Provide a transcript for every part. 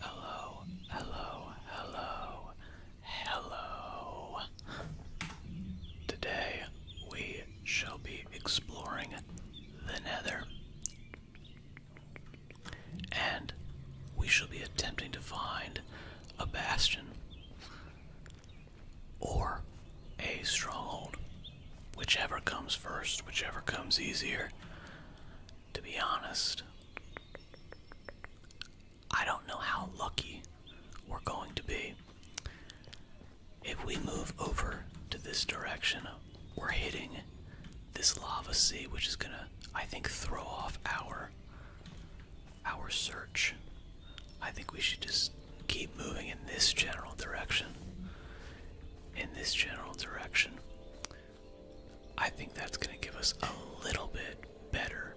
Hello, hello, hello, hello. Today we shall be exploring the Nether. And we shall be attempting to find a bastion or a stronghold. Whichever comes first, whichever comes easier. To be honest, I don't know how lucky we're going to be. If we move over to this direction, we're hitting this lava sea, which is gonna, I think, throw off our our search. I think we should just keep moving in this general direction. In this general direction. I think that's going to give us a little bit better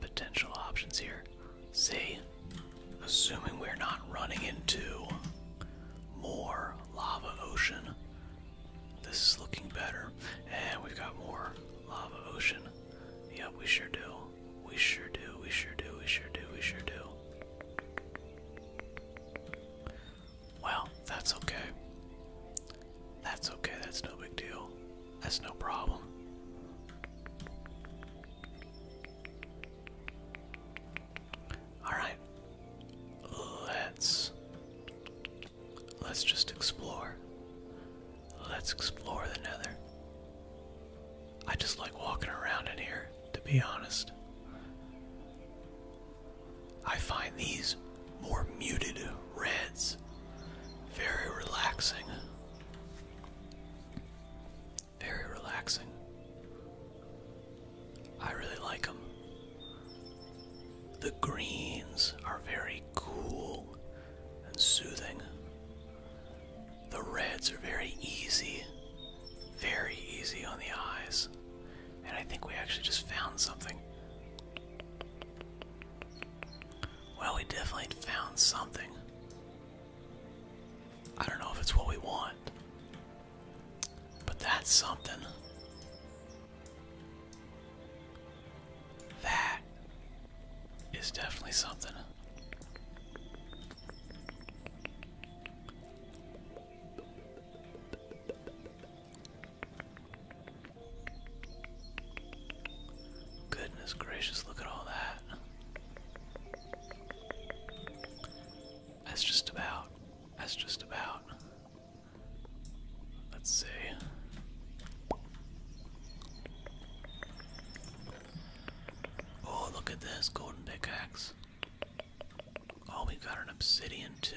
potential options here. See? Assuming we're not running into more lava ocean, this is looking better. And we've got more lava ocean. Yep, we sure do. We sure do, we sure do, we sure do, we sure do. Well, that's okay. That's okay, that's no big deal. That's no problem. Alright. Let's let's just explore. Let's explore the nether. I just like walking around in here, to be honest. I find these more muted reds very relaxing. Very relaxing. I really like them. The greens are very cool and soothing. The reds are very easy very easy on the eyes. And I think we actually just found something. Well, we definitely found something. I don't know if it's what we want, but that's something. That is definitely something. Goodness gracious, look at all that. That's just about. That's just about. Let's see. Oh, look at this golden pickaxe. Oh, we got an obsidian too.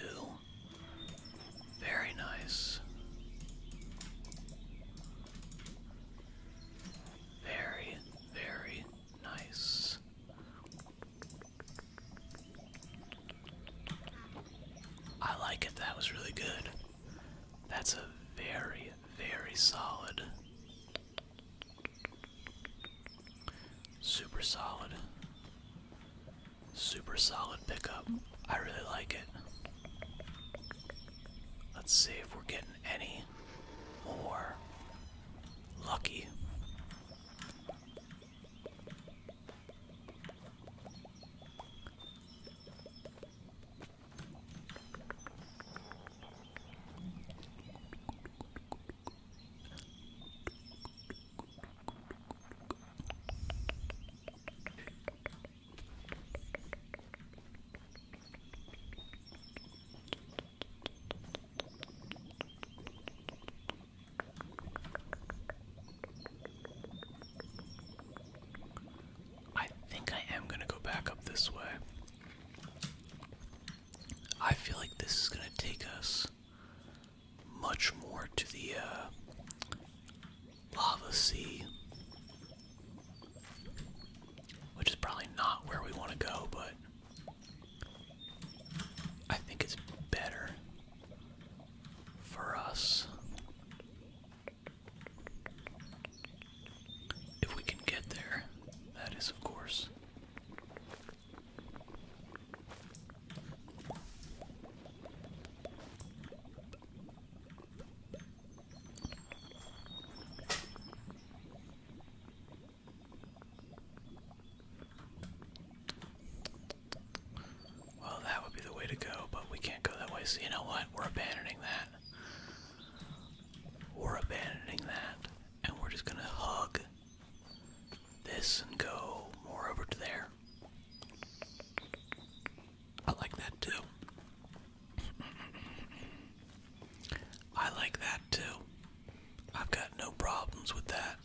Very nice. Very, very nice. I like it. That was really good. That's a very, very solid Super solid. Super solid pickup. I really like it. Let's see if we're getting any more lucky. I think I am going to go back up this way. I feel like this is going to take us much more to the uh, lava sea, which is probably not where we want to go, but I think it's better for us if we can get there. That is, of course. Well, that would be the way to go, but we can't go that way, so you know what? We're abandoning that. We're abandoning that and we're just gonna hug this and go more over to there. I like that too. I like that too. I've got no problems with that.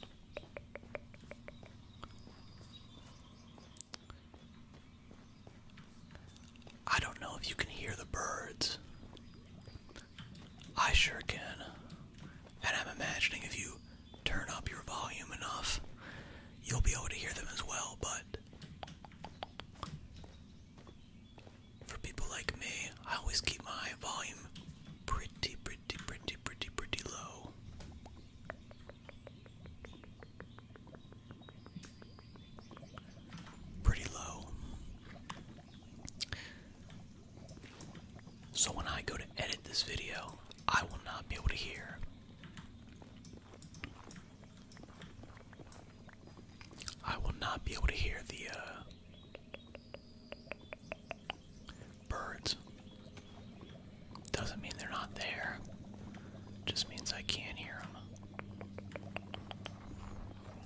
I don't know if you can hear the birds. I sure can. And I'm imagining if you turn up your volume enough, you'll be able to hear them as well, but for people like me, I always keep my volume pretty, pretty, pretty, pretty, pretty low pretty low. So when I go to edit this video, I will not be able to hear. I will not be able to hear the uh, birds. Doesn't mean they're not there. Just means I can't hear them.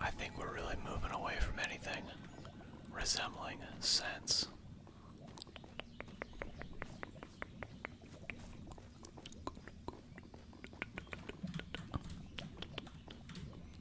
I think we're really moving away from anything resembling sense.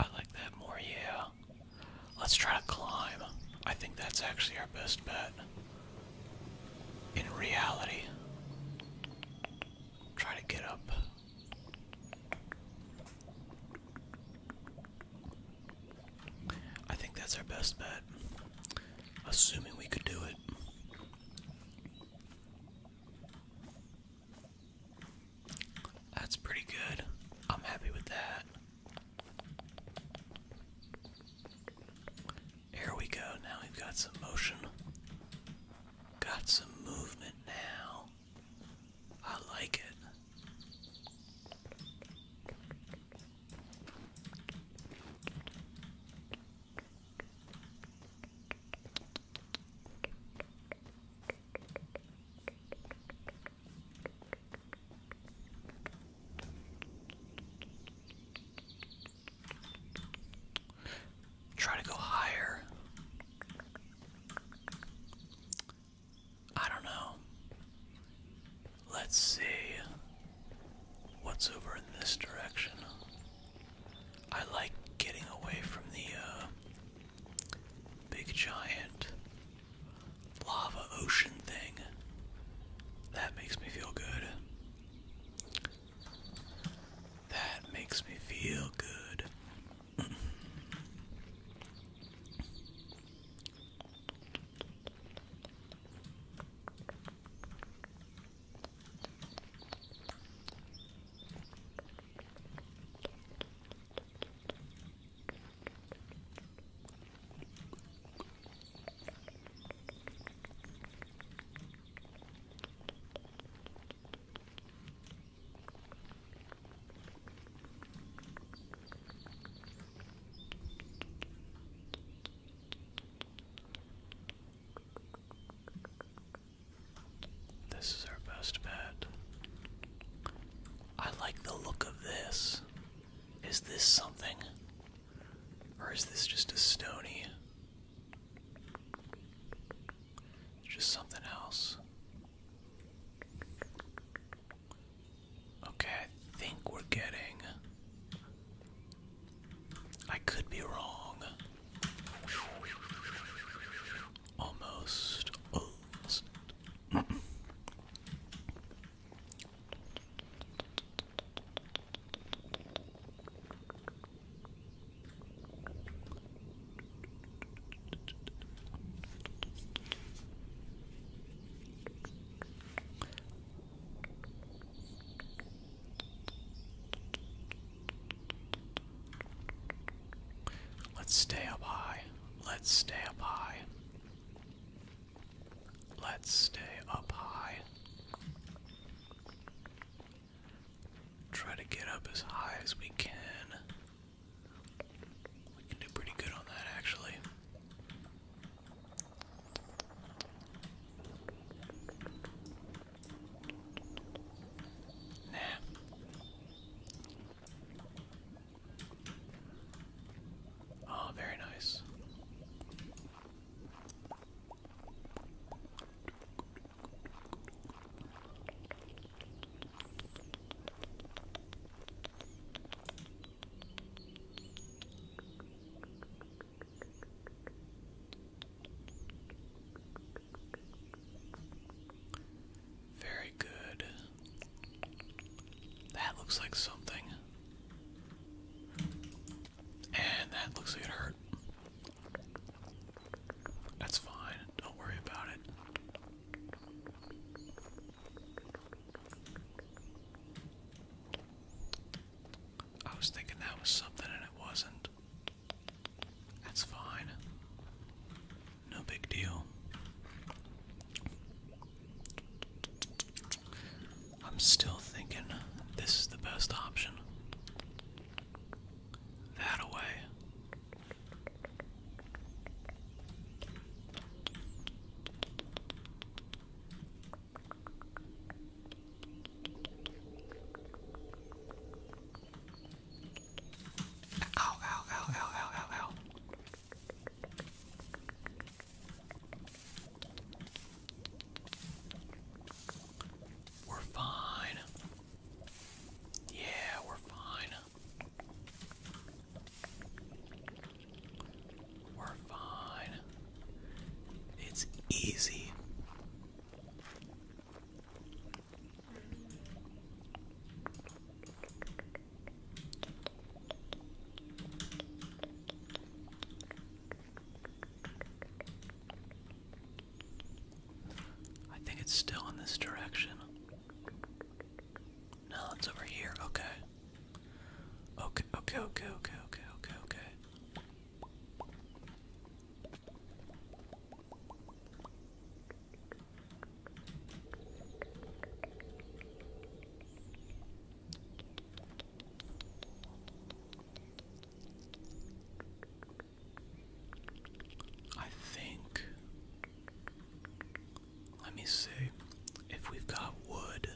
I like that more, yeah. Let's try to climb. I think that's actually our best bet in reality. Try to get up. I think that's our best bet, assuming we could do it. That's pretty good. I'm happy with that. There we go. Now we've got some motion. Got some movement now. I like it. Try to go higher. I don't know. Let's see what's over in this direction. I like getting away from the uh, big giant lava ocean thing. That makes me feel good. That makes me feel good. This is our best bed. I like the look of this. Is this something or is this just a stony? Just something else. Okay, I think we're getting. I could be wrong. Almost. Let's stay up high. Let's stay up high. Let's stay up high. Try to get up as high as we can. We can do pretty good on that actually. Nah. Oh, very nice. Very good. That looks like something. And that looks like it hurt. That's fine. Don't worry about it. I was thinking that was something and it wasn't. That's fine. No big deal. I'm still thinking this is the best option. That away. ow, ow, ow, ow, ow, ow. We're fine. Yeah, we're fine. We're fine. It's easy. I think it's still in this direction. No, it's over here. Okay. Okay, okay, okay, okay, okay, okay, I think. Let me see if we've got wood.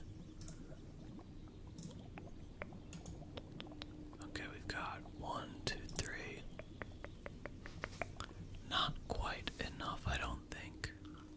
Okay, we've got one, two, three. Not quite enough, I don't think.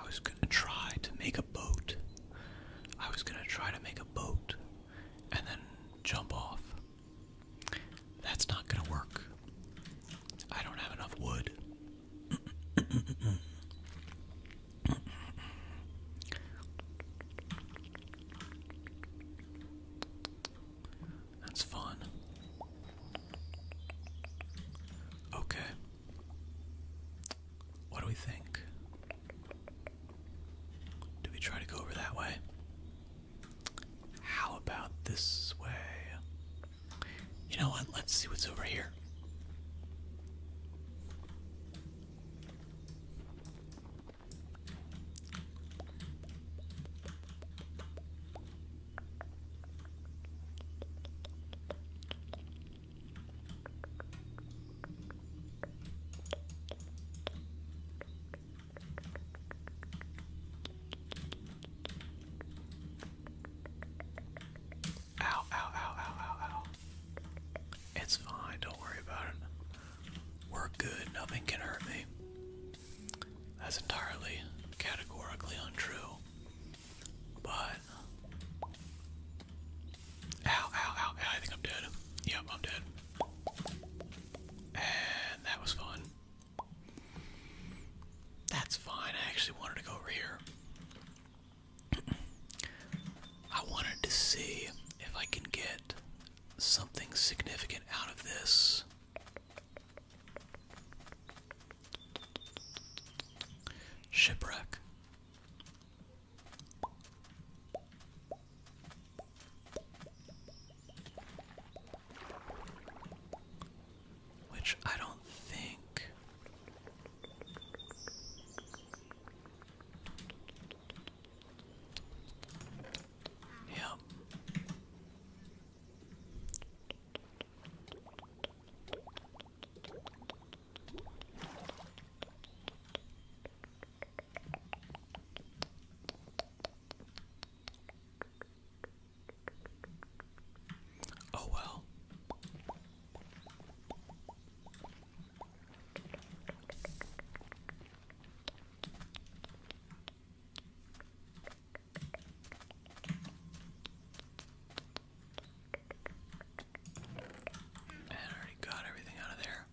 I was gonna try to make a boat. I was gonna try to make a boat and then jump off. That's not gonna work. I don't have enough wood. That's fun. Okay. What do we think? Do we try to go over that way? How about this way? You know what? Let's see what's over here. Ow, ow, ow, ow, ow, ow. It's fine, don't worry about it. We're good, nothing can hurt me. That's entirely categorically untrue. But Ow, ow, ow, I think I'm dead. Yep, I'm dead. And that was fun. That's fine, I actually wanted to go over here. I wanted to see if I can get something significant out of this. Shipwreck. Which I don't think. Yep. Oh, well. I already got everything out of there.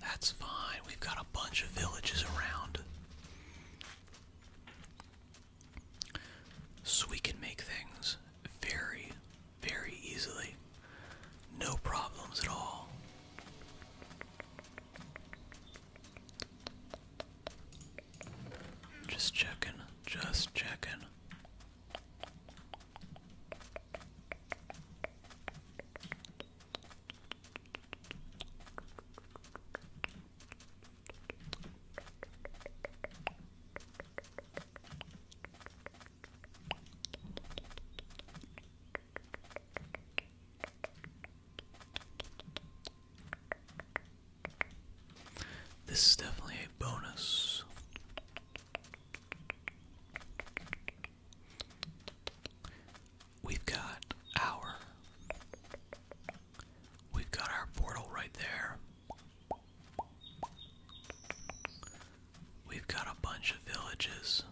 That's fine. We've got a bunch of villages around. So we can make things very, very easily. No problems at all. Just checking, just checking. This is definitely a bonus. We've got our We've got our portal right there. We've got a bunch of villages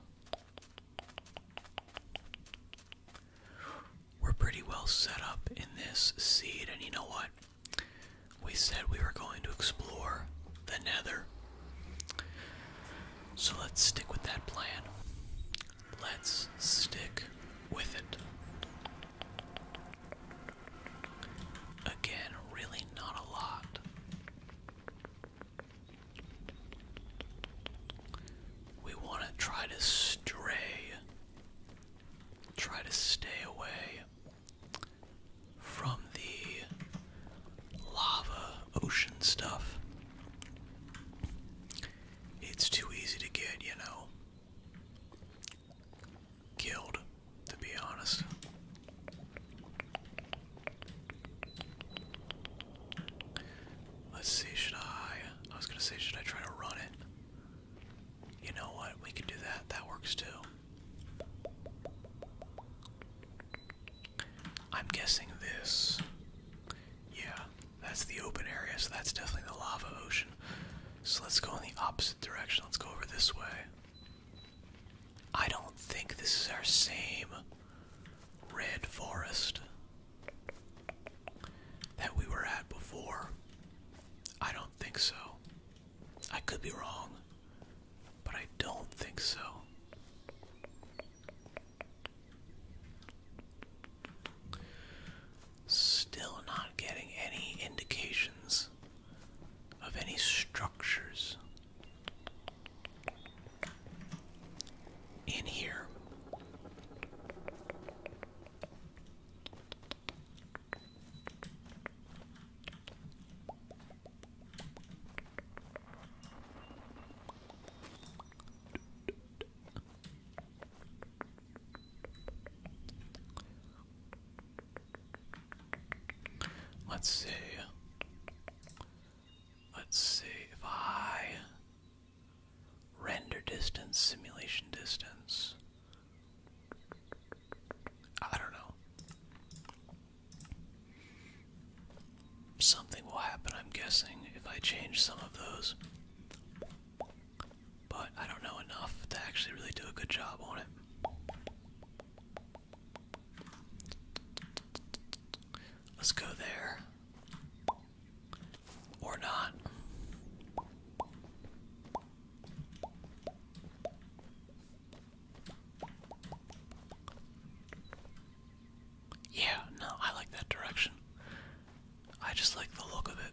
we're pretty well set up in this seed. And you know what? We said we were going to explore the nether. So let's stick with that plan. Let's stick with it. Again, really not a lot. We want to try to stray try to stay away from the lava ocean stuff. It's too easy to get, you know, killed, to be honest. Let's see, should I? I was gonna say, should I try to run it? You know what? We can do that. That works too. I'm guessing this. Yeah, that's the open area, so that's definitely the lava ocean. So let's go in the opposite direction. Let's go over this way. I don't think this is our same red forest that we were at before? I don't think so. I could be wrong, but I don't think so. Still not getting any indications of any structures in here. Let's see. Let's see if I Render distance, simulation distance. I don't know. Something will happen, I'm guessing, if I change some of those. But I don't know enough to actually really do a good job on it. Let's go there. Or not. Yeah, no, I like that direction. I just like the look of it.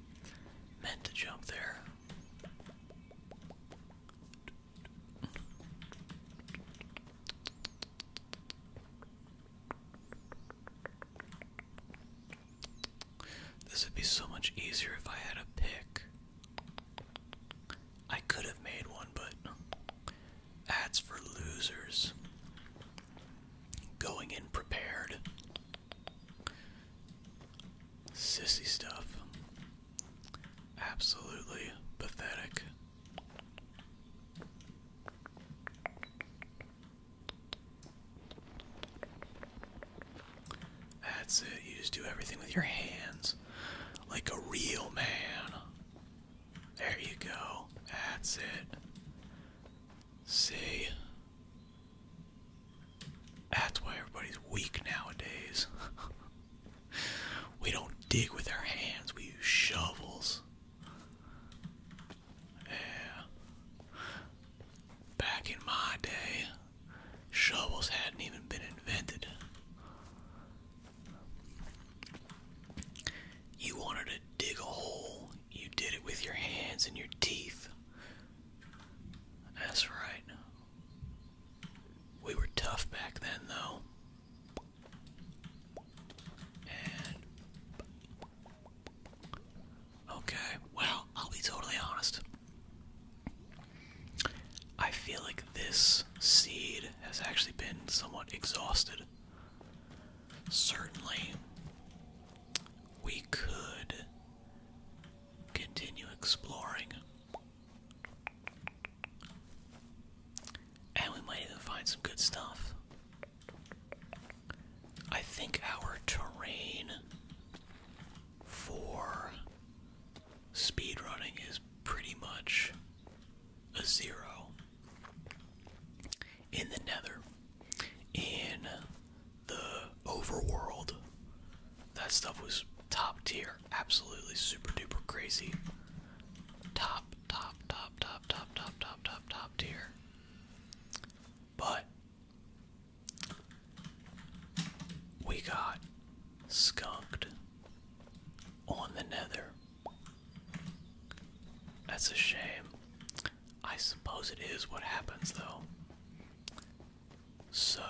meant to jump there. This would be so much easier if I had a pick. I could have made one, but ads for losers. Going in prepared. Sissy stuff. Absolutely pathetic. That's it. You just do everything with your hands like a real man. There you go. That's it. See? That's why everybody's weak nowadays. we don't dig with our hands, we use shovels. Yeah. Back in my day, shovels hadn't even been invented. You wanted to dig a hole. You did it with your hands and your teeth. That's right. We were tough back then, though. Okay, well, I'll be totally honest. I feel like this seed has actually been somewhat exhausted. Certainly, we could continue exploring. And we might even find some good stuff. I think our terrain for speedrunning is pretty much a zero in the nether, in the overworld. That stuff was top tier, absolutely super duper crazy. Top, top, top, top, top, top, top, top, tier. But we got skunked on the nether that's a shame. I suppose it is what happens, though. So,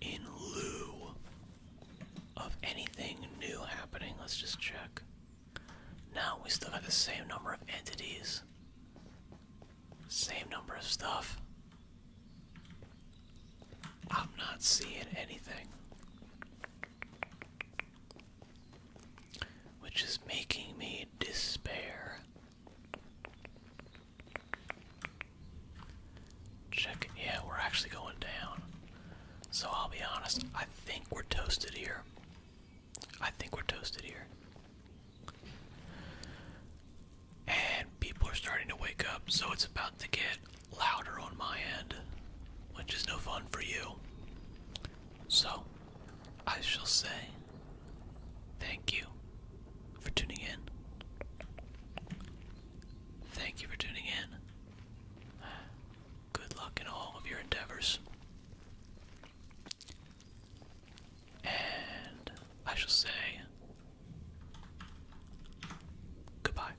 in lieu of anything new happening, let's just check. Now we still have the same number of entities, same number of stuff. I'm not seeing anything which is making me despair. Check Yeah, we're actually going down. So I'll be honest, I think we're toasted here. I think we're toasted here. And people are starting to wake up, so it's about to get louder on my end, which is no fun for you. So, I shall say thank you for tuning in. Thank you for tuning in. Good luck in all of your endeavors. And I shall say goodbye.